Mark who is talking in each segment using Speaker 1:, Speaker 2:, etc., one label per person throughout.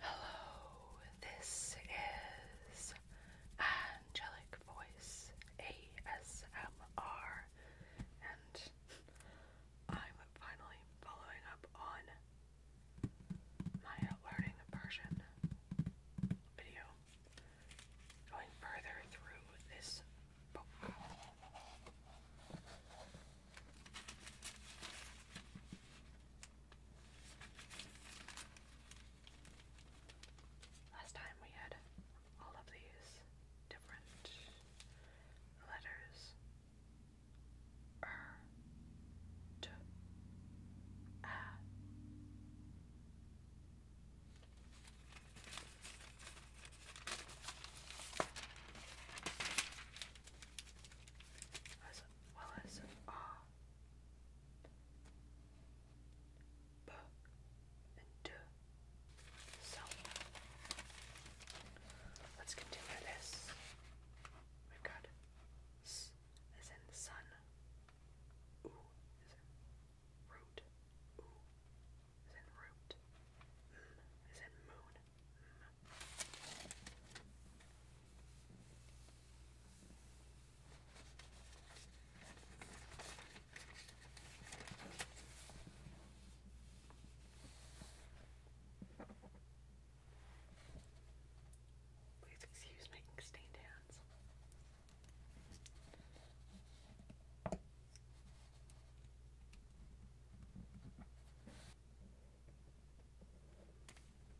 Speaker 1: Hello, this is Angelic Voice ASMR, and I'm finally following up on my learning Persian video, going further through this book. Last time we had all of these different letters er, Willis R. B and D. So let's continue this. We've got S as in sun. U is in root. U is in root. M is in moon. Please excuse making stained hands.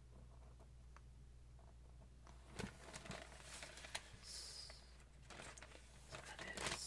Speaker 1: So that is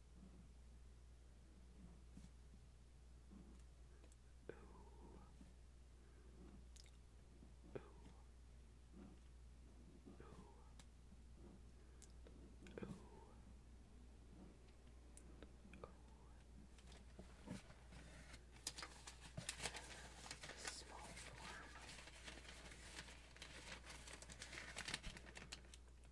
Speaker 1: Ooh. Ooh. Ooh. Ooh. Small form.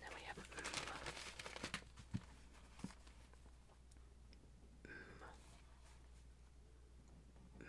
Speaker 1: Then we have mm. Mm. Mm. Mm.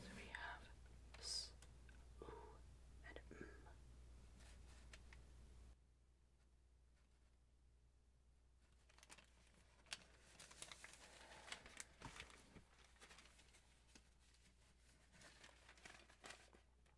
Speaker 1: So we have s, oo, and mm.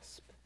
Speaker 1: Asp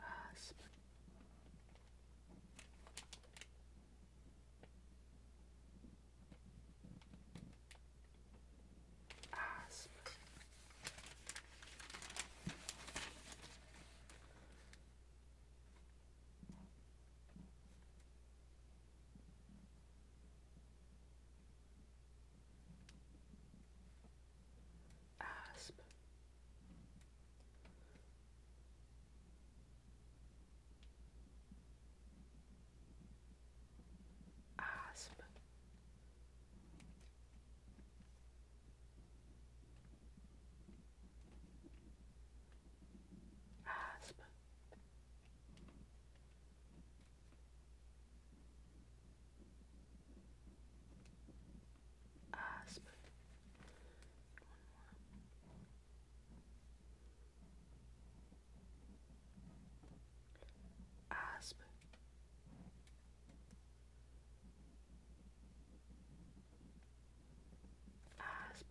Speaker 1: uh, split asp. Asp. Asp. Asp. One more. Asp. Asp. Asp.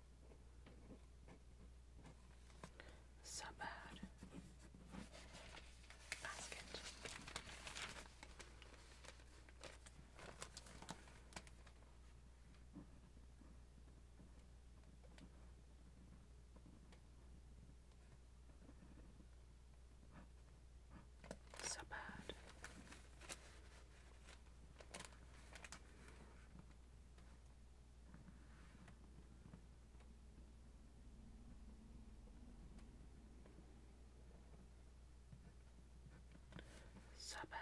Speaker 1: Sabad basket. Sabad. So bad.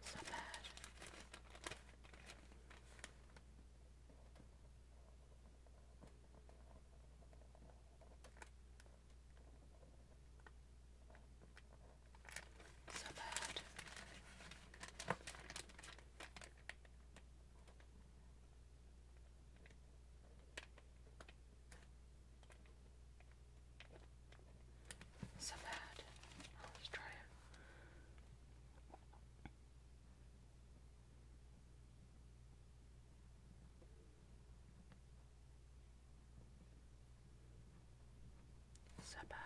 Speaker 1: It's bad. So bad. So bad. I'll try it. So bad.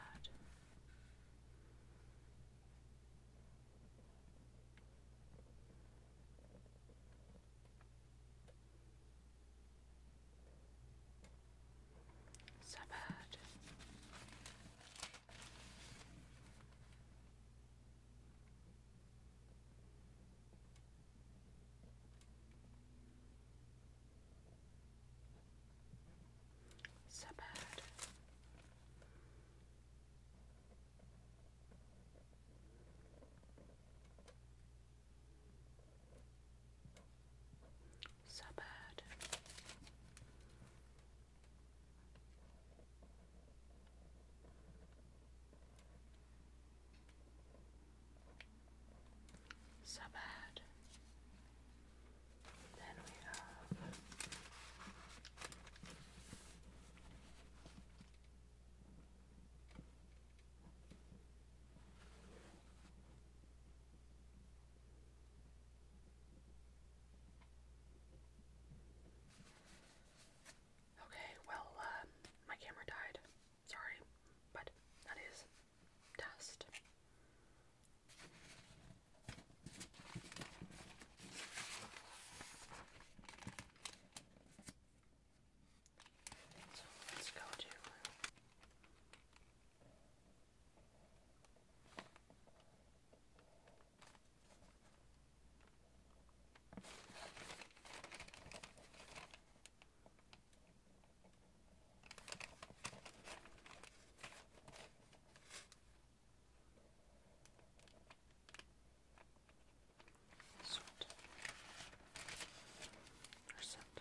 Speaker 1: So bad. So bad. So bad. So bad. Then we have Okay, well, um, my camera died. Sorry, but that is dust. So let's go to Sweat or scent.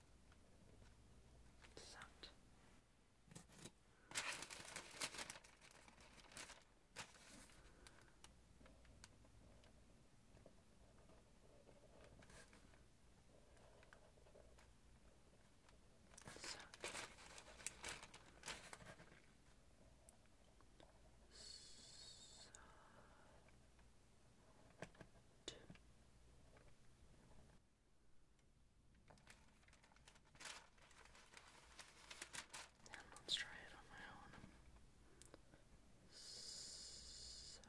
Speaker 1: Sat. Sat. Sat. And let's try it on my own. So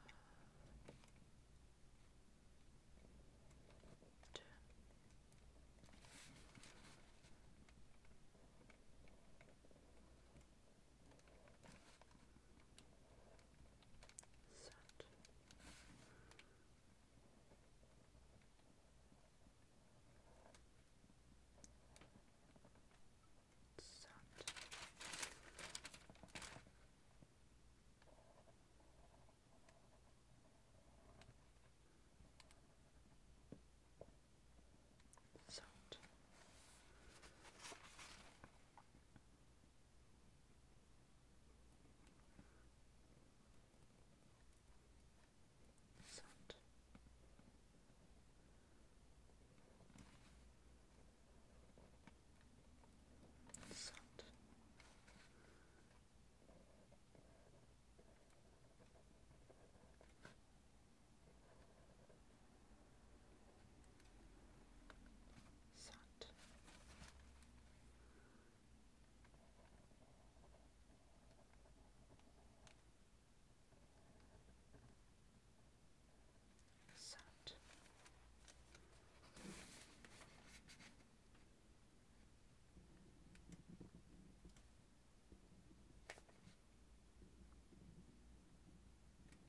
Speaker 1: Set. Set. Set. Sound. Sound. Sat. Sat. Sat.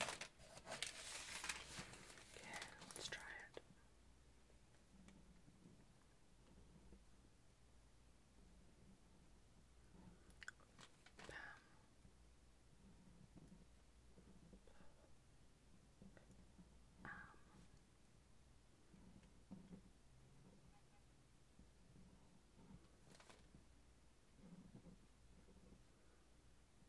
Speaker 1: Okay, let's try it. Bam. Um. Um.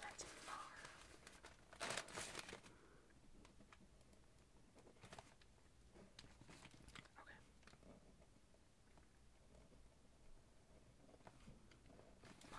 Speaker 1: That's far. Okay. Mar.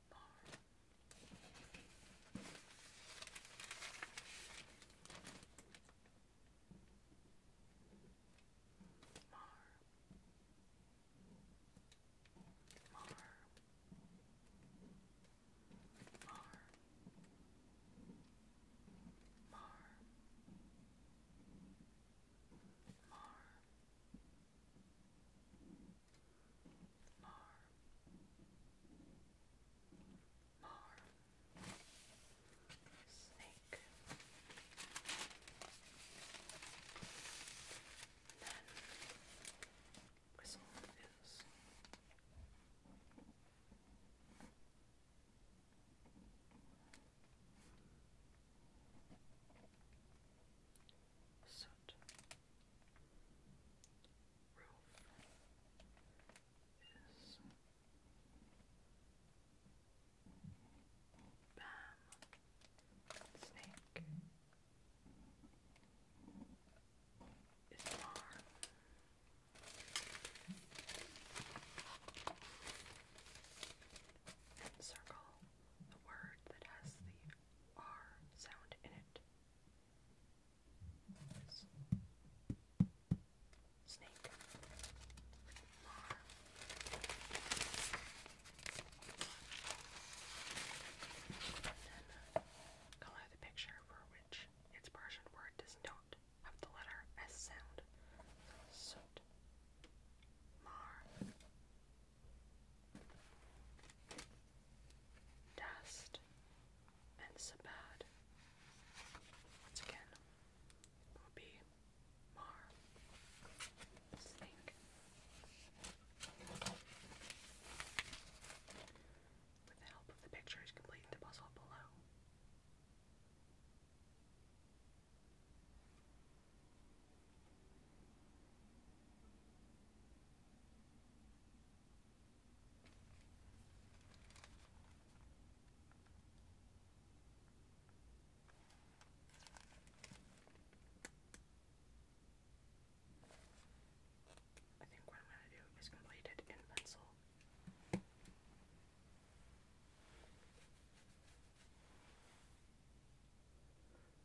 Speaker 1: Mar, Mar. Mar. Snake. And then whistle is soot is Bam Snake is Mar circle the word that has the R sound in it. Snake. Mar. Uh, color the picture for which its Persian word does not have the letter S sound. Soot. Mar. Dust and Sabad. Once again, will be Mar. Snake. With the help of the pictures, complete the puzzle below. I think what I'm going to do is complete it in pencil.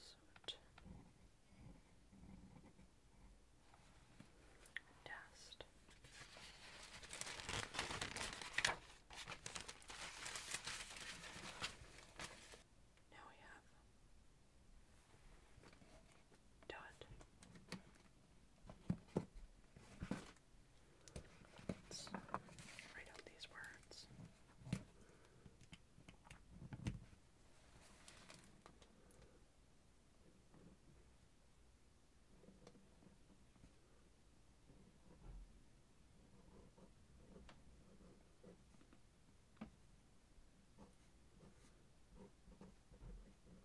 Speaker 1: Sort dust. Now we have dot Let's write out these words. Okay. Marred.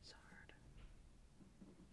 Speaker 1: It's hard. Mars.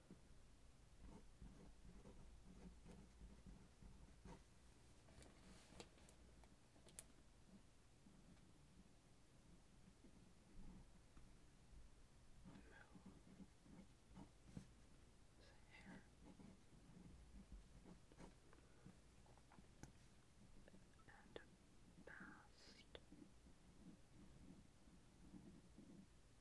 Speaker 1: and past.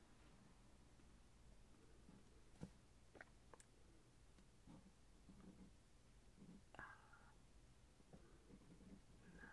Speaker 1: Uh, nerd. Then, uh,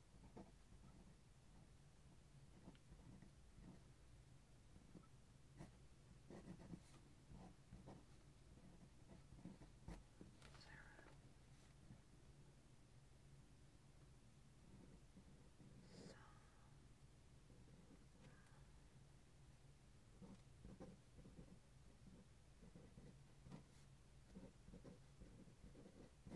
Speaker 1: Sarah.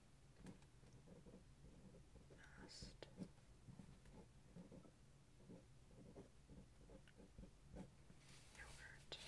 Speaker 1: must yogurt. Dog.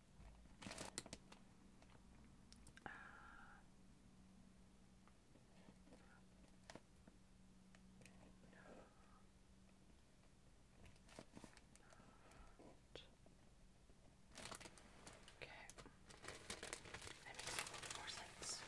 Speaker 1: Uh, okay, that makes a little more sense.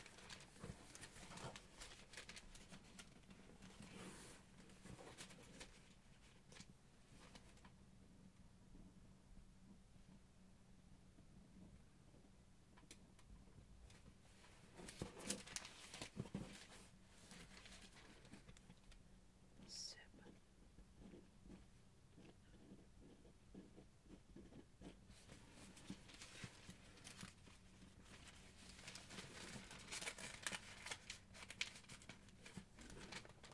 Speaker 1: Sip.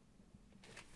Speaker 1: Okay. Zip.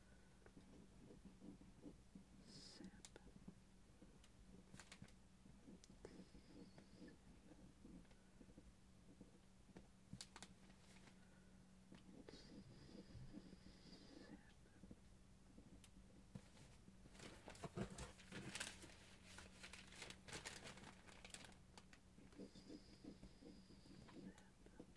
Speaker 1: Sip. Sip. Sip.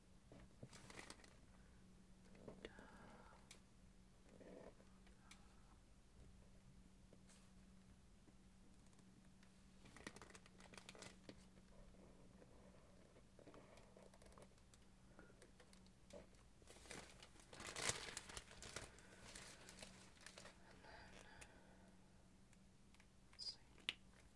Speaker 1: And then, let's see.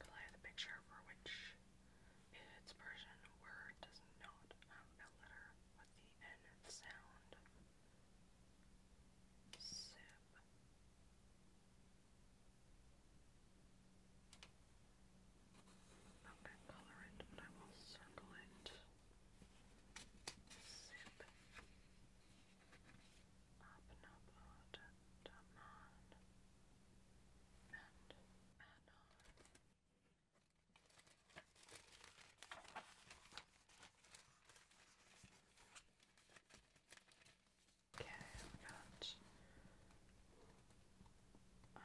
Speaker 1: Color the picture for which its Persian word does not have a letter with the N sound. Sib. I'm going to color it, but I will circle it. Sib. Abnabad, Daman, and Anon. Okay, we got uh, yeah.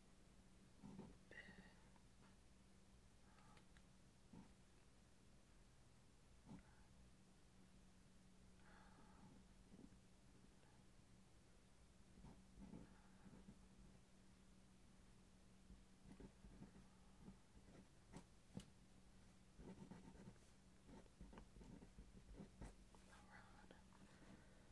Speaker 1: Around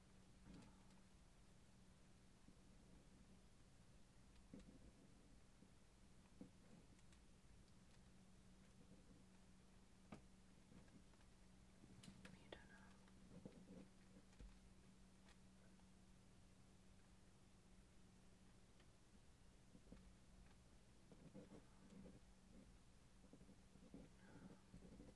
Speaker 1: You don't know. No.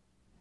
Speaker 1: Come here.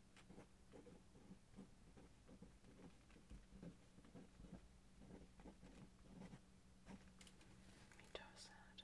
Speaker 1: Let me toss that.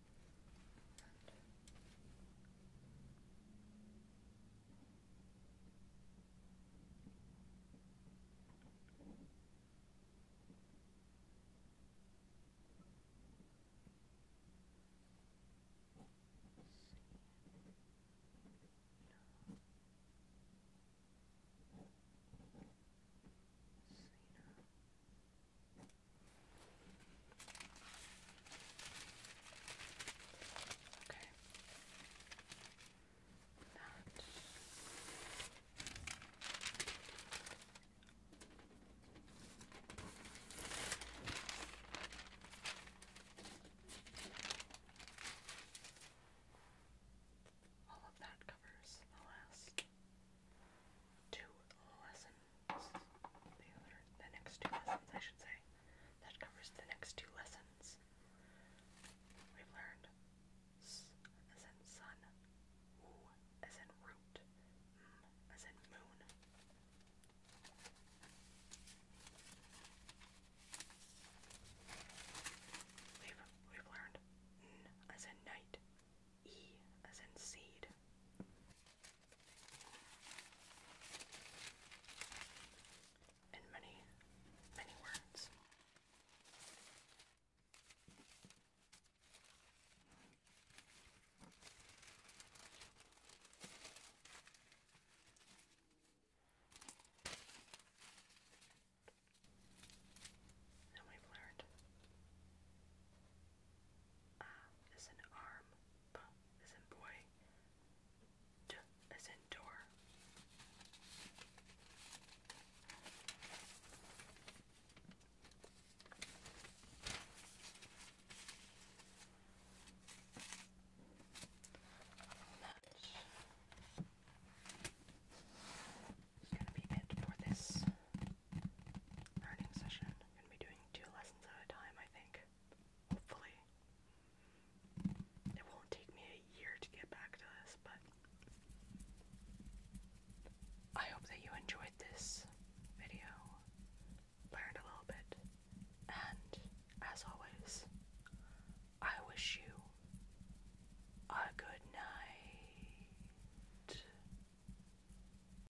Speaker 1: Cena. Cena. Okay. That. All of that covers the last two lesson the next two lessons, I should say. That covers the next two lessons. We've learned s as in sun, wu as in root, m as in moon. We've, we've learned n as in night, e as in seed in many, many words. Now we've learned um, a is in arm. is in boy. is in door. That's gonna be it for this learning session. i going to be doing two lessons at a time, I think. Hopefully. It won't take me a year to get back to this, but I hope that you enjoyed this video, learned a little bit, and as always, I wish you a good night.